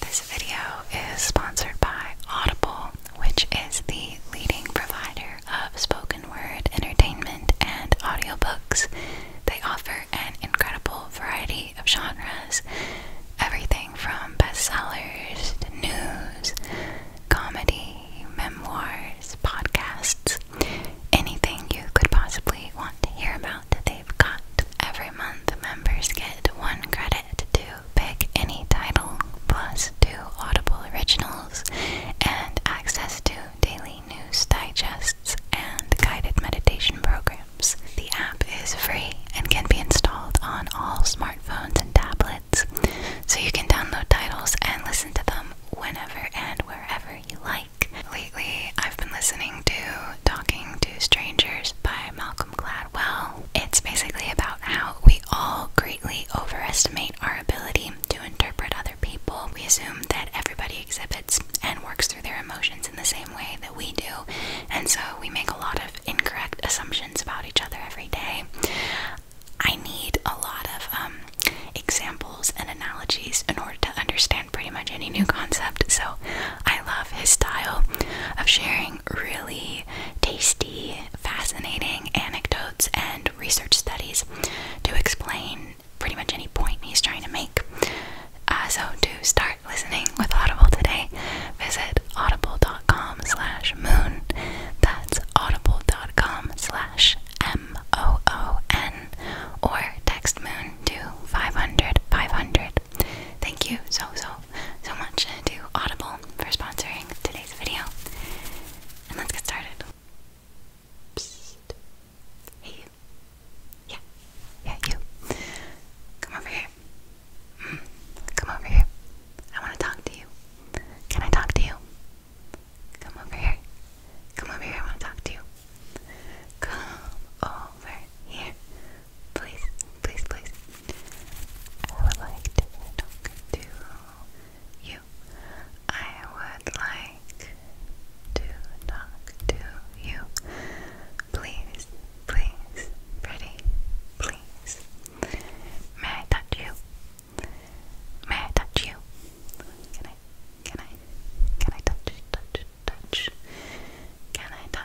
This video is sponsored by Audible, which is the leading provider of spoken word entertainment and audiobooks. They offer an incredible variety of genres, everything from bestsellers to news, comedy, memoirs, podcasts, anything you could possibly want to hear about. They Every month, members get one credit to pick any title, plus two Audible originals, and access to daily news digests and guided meditation programs. The app is free and can be installed on all smartphones and tablets, so you can download titles and listen to them whenever and wherever you like. Lately, I've been listening to Talking to Strangers by Malcolm Gladwell well, it's basically about how we all greatly overestimate our ability to interpret other people. We assume that everybody exhibits and works through their emotions in the same way that we do, and so we make a lot of incorrect assumptions about each other every day. I need a lot of um, examples and analogies in order to understand pretty much any new concept, so I love his style of sharing really tasty, fascinating anecdotes and research studies to explain pretty much any point he's trying to make. Uh, so to start listening with Audible today, visit audible.com slash moon. That's audible.com slash M-O-O-N or text moon to 500 Thank you so, so so much to Audible for sponsoring today's video. And let's get started. Hey, Yeah. Yeah, you. Come over here. Mm. Come over here. I want to talk to you. Can I talk to you? Come over here. Come over here. I want to talk to you. Come over here. Please, please, please. I would like to talk to you. I would like to talk to you. Please, please, pretty, please. May I touch you? May I touch you? Can I, can I, can I touch, touch, touch? Can I touch?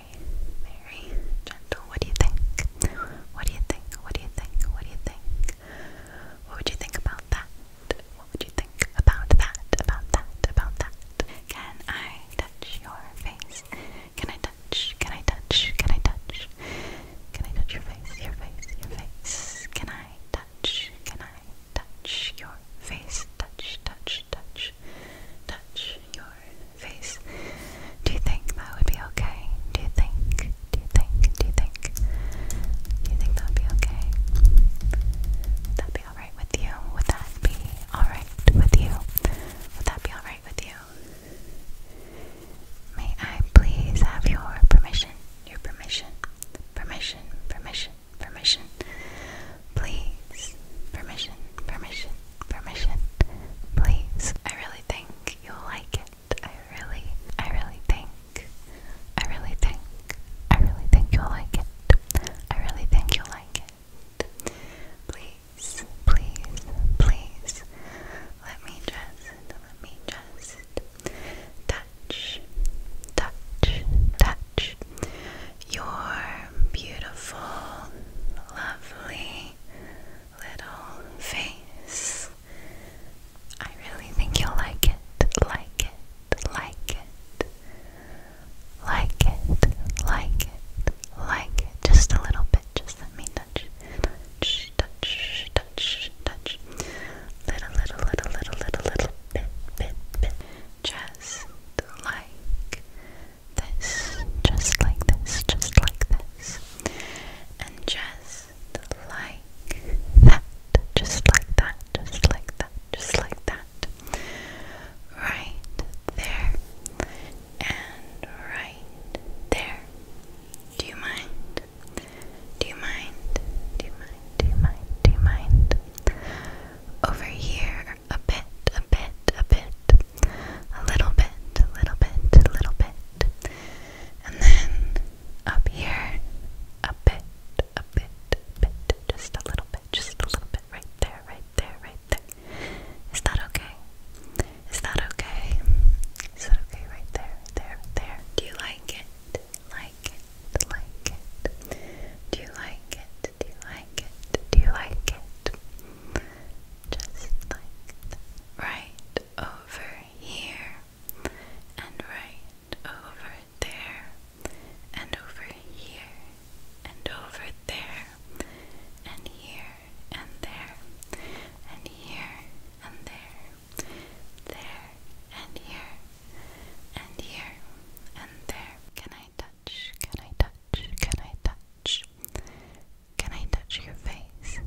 very gentle. What do you think? What do you think? What do you think? What do you think? What would you think about that? What would you think about that? About that? About that? Can I touch your face? Can I touch? Can I touch? Can I touch? Can I touch your face? Your face? Your face? Can I touch? Can I touch your face? Touch, touch, touch, touch your face. Do you think that would be okay? Do you think? Do you think? Do you think? Do you think that would be okay? Would that be alright with you? Would that be alright with you? Would that be alright with you? May I please have your permission? Your permission? Permission, permission, permission. Please. Permission, permission, permission, please. I really think you'll like it. I really, I really think, I really think, I really think you'll like it. I really think you'll like it. Please, please, please. Let me just, let me just touch, touch, touch your beautiful, lovely, little face. I really think you'll like it, like it, like it, like it, like it, like it. Just a little bit, just let me touch, touch, touch, touch, touch. Little, little, little, little, little, little bit, bit, bit. Just like this, just like this, just like this, and just like that, just like that, just like that, just like that, right there, and right there. Do you mind? Do you mind? Do you mind? Do you mind? Do you mind? Over here, a bit, a bit, a bit a little bit, a little bit, a little bit, and then up here, a bit, a bit, a bit, just a little bit, just a little bit, right there, right there, right there. Is that okay? Is that okay? Is that okay? Right there, right there, right there. Do you like it? Like it? Like it? Do you like it? Do you like it? Do you like it? just like that. Right over here, and right over there, and over here, and over there, and here, and there, and here, and there, there, and here, and here, and there. Can I touch? Can I touch? Can I touch? Can I touch your face?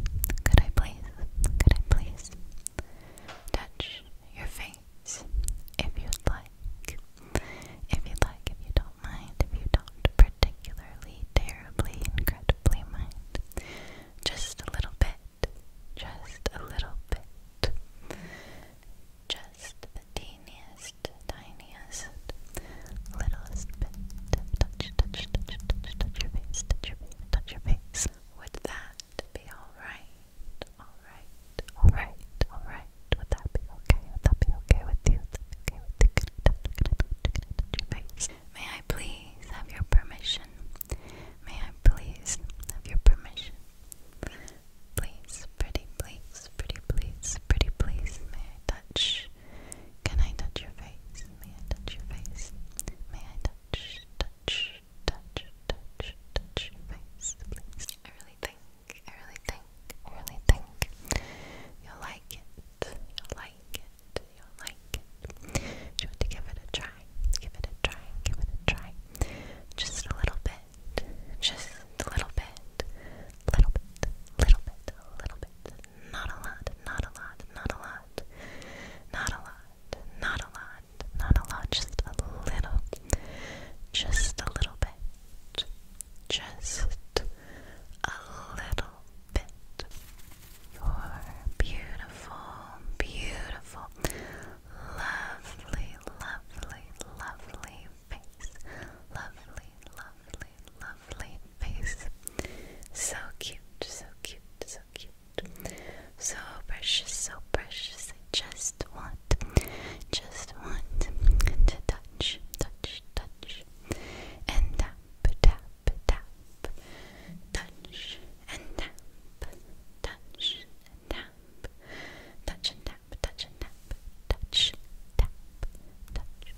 Could I please? Could I please? Touch your face if you'd like. If you'd like, if you don't mind, if you don't particularly, terribly, incredibly mind. Just a little bit. Just a little bit. Just the teeniest, tiniest littlest bit. Touch, touch, touch, touch, touch your face, touch your face, touch your face. Would that be alright? Alright, alright, alright. Would that be okay? Would that be okay with you? Would that be okay with you? Could touch, touch, touch your face? May I please have your permission? May I please have your permission? Please, pretty please, pretty please, pretty please, may I touch can I touch your face? May I touch your face? May I touch, touch, touch, touch, touch your face, I really think, I really think, I really think you'll like it. You'll like it. You'll like it. Do you want to give it a try? Give it a try. Give it a try. Just a little bit. Just a little bit. Little bit. Little bit. Little bit. Not a lot. Not a lot. Not a lot lot. Not a lot. Not a lot. Not a lot. Just a little. Just a little bit. Just a little bit. You're beautiful, beautiful, lovely, lovely, lovely face. Lovely, lovely, lovely lovely face. So cute, so cute, so cute. So precious, so precious. I just want, just want to touch, touch, touch. And tap, tap, tap. Touch and tap. Touch and tap. Touch and tap, touch and tap. Touch, tap, touch,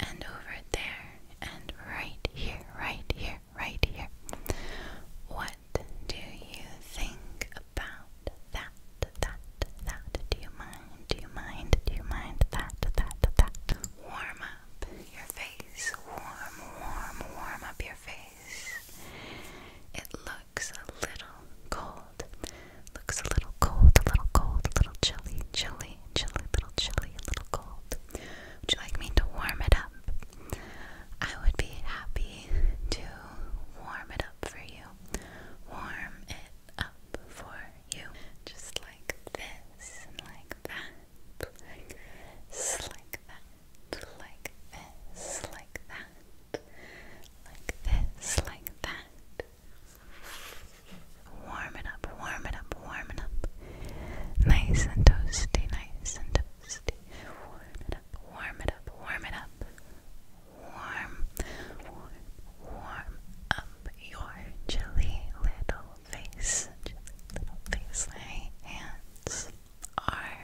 and over there, and right here, right here, right here. What do you think about that, that, that? Do you mind, do you mind, do you mind that, that, that? Warm up your face, warm, warm, warm up your face. It looks a little cold cold. Looks a little cold, a little cold, a little chilly, chilly, chilly, a little chilly, a little cold. Would you like me to warm it up? I would be happy to warm it up for you. Warm it up for you. Just like this, and like that, like this, like that, like this, like that, like this, like that. Warm it up, warm it up, warm it up. Nice and toasty, nice and toasty. Warm it up, warm it up, warm it up. Warm, warm, warm up your chilly little face. Chilly little face. My hands are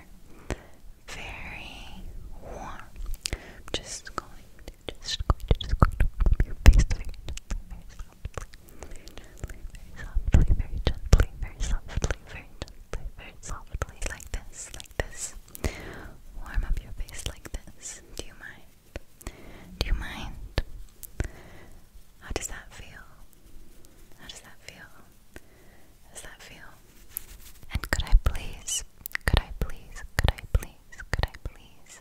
very warm. just going just going to just going to rub your face very softly, very softly, very gently, very softly, very gently, very softly, like this, like this. Warm up your face like this. Do you mind? Do you mind? How does that feel? How does that feel? How does that feel? And could I please, could I please, could I please? could I please?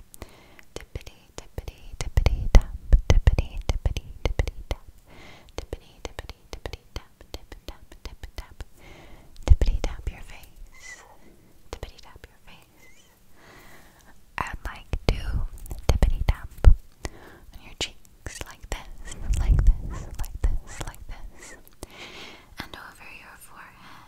Tippity, tippity, tippity, tap, tippity, tippity, tippity, tap, tippity, tippity, tippity, tap, tip, tap, tip, tap, tippity, tap your face, tippity, tap your face. I'd like to tippity, tap on your cheeks like this, like this, like this, like this, and over your forehead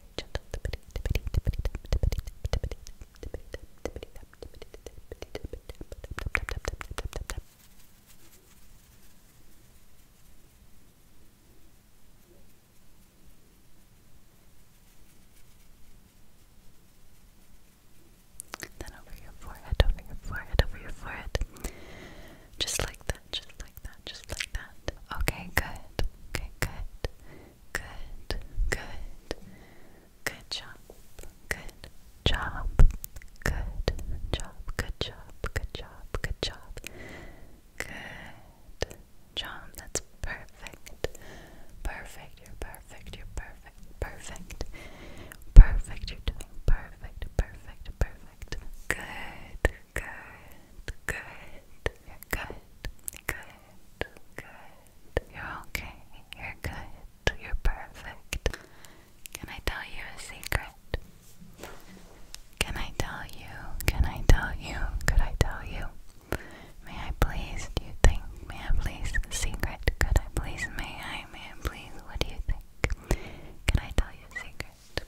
gentle then over your forehead, over your forehead, over your forehead. Just like that, just like that, just like that. Okay, good. Okay, good. Good. Good. Good job. Good job. Good job. Good job. Good job. Good job. Good job. That's perfect. Perfect. You're perfect. You're perfect. Perfect. Perfect. You're doing perfect. Perfect. Perfect. Good. Good good, you're good, good, good. You're okay, you're good, you're perfect. Can I tell you a secret? Can I tell you? Can I tell you? Could I tell you? May I please, do you think? May I please, the secret? Could I please? May I? May I please? What do you think? Can I tell you a secret?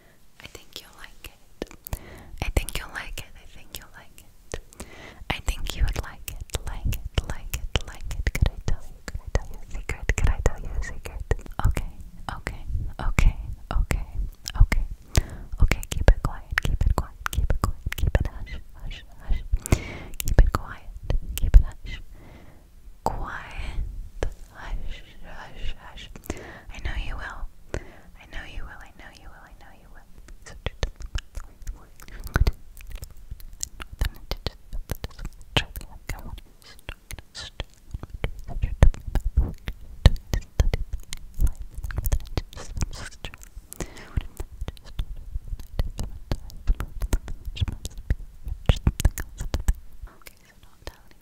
I think you'll like it. I think you'll like it. I think you'll like it. I think you would like it, like it, like it, like it. Could I tell you? Could I tell you a secret? Could I tell you a secret? Okay, okay, okay, okay, okay. Okay, keep it quiet, keep it quiet, keep it quiet, keep it hush, hush, hush. Keep it quiet, keep it hush quiet. Hush, hush, hush. I know you will. I know you will. I know you will. I know you will. Okay, so not telling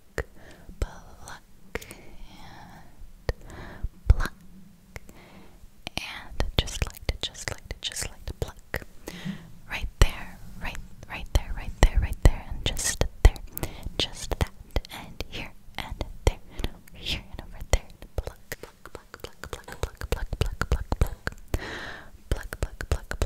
pluck, and pluck. And just like to, just like to, just like to pluck. Right there, right, right there, right there, right there, and just there, just that, and here, and there, here, and over there. pluck, pluck, pluck, pluck, pluck, pluck, pluck, pluck, pluck, pluck, pluck, pluck,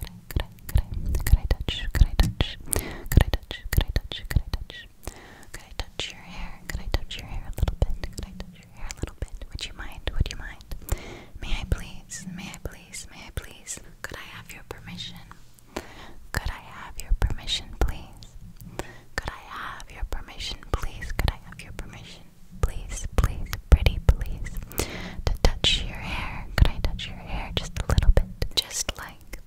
could I, could I, could I, could I touch, could I touch, could I touch, could I touch, could I touch, could I touch your hair, could I touch your hair a little bit, could I touch your hair a little bit, would you mind, would you mind, may I please, may I please, may I please, could I have your permission, could I have your permission, please, could I have your permission, please, could I have your permission, please, please, pretty, please, to touch your hair. Could I touch your hair just a little bit? Just like,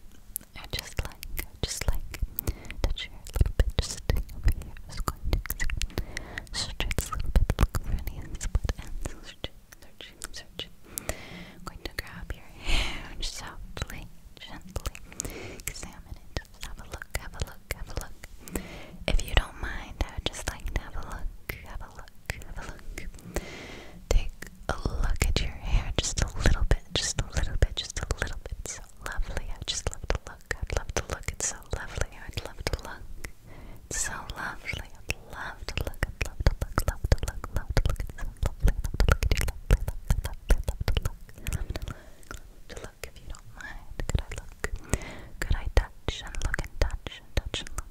oh, just like, oh, just like, touch your hair a little bit. Just over here. Just going to stretch a little bit. Look for any split ends. Searching, searching, searching. I'm going to grab your hair and softly, gently examine it. Just have a look, have a look, have a look. If you don't mind, I would just like to have a look, have a look have a look. Take a look at your hair just a little bit, just a little bit, just a little bit. So lovely. I just love to look. I'd love to look. It's so lovely. I'd love to look. so lovely. I'd love to look. I'd love to look. Love to look. Love to look. so lovely. Love to look at you. Lovely. Lovely. Love to look. Love to look. Love to look. Love to look. If you don't mind, could I look? Could I touch and look and touch and touch and look?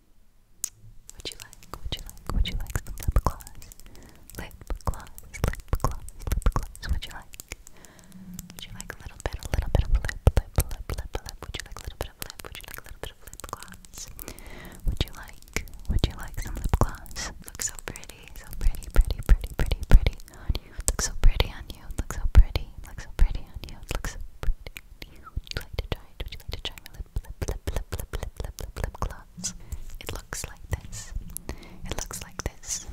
Would you like, would you like, would you like some lip gloss? Lip gloss, lip gloss, lip gloss, would you like? Would you like a little bit, a little bit of lip, lip, lip, lip, lip? Would you like a little bit of lip? Would you like a little bit of lip gloss? Would you like, would you like some lip gloss? Looks so pretty, so pretty, pretty, pretty, pretty, pretty on you. Looks so pretty on you, looks so pretty, looks so pretty on you, looks so pretty on you. Would you like to try it? Would you like to try my lip? lip, lip, lip, lip, lip, lip, lip, lip gloss. It looks like this. It looks like this.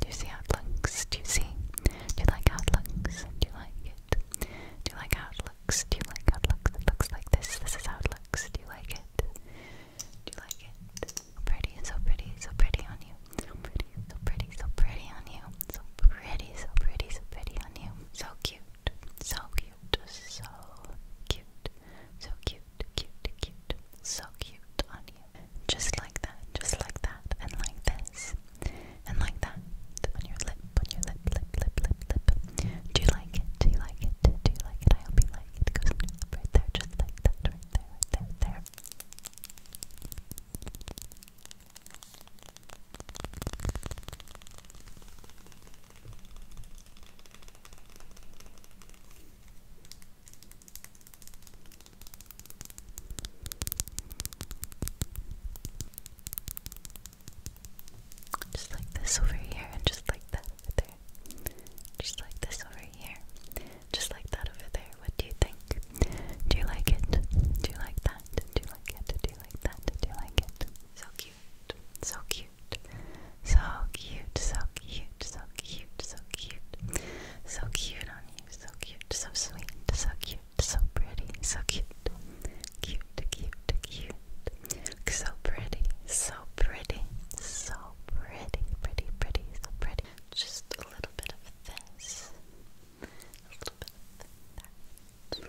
Do you see how it looks? Do you see? Do you like how it looks? Do you like it? Do you like how it looks? Do you like how it looks? It looks like this. This is how it looks. Do you like it? Do you like it? So pretty, so pretty, so pretty on you. So pretty, so pretty, so pretty on you. So pretty, so pretty, so pretty on you. So cute cute, so cute, so cute, so cute, cute, cute, so cute on you. Just like that, just like that, and like this, and like that, on your lip, on your lip, lip, lip, lip, lip. Do you like it? Do you like it? Do you like it? I hope you like it. It goes on your lip right there, just like that, right there, right there, there. Just like this over here, and just like that over there. Just like this over here. Just like that over there. What do you think? Do you like it? Do you like that? Do you like it? Do you like that? Do you like it? So cute cute, so cute, so cute, so cute, so cute, so cute, so cute on you, so cute, so sweet, so cute, so pretty, so cute, cute, cute, cute, so pretty, so pretty, so pretty, pretty, pretty, so pretty. Just a little bit of this, a little bit of that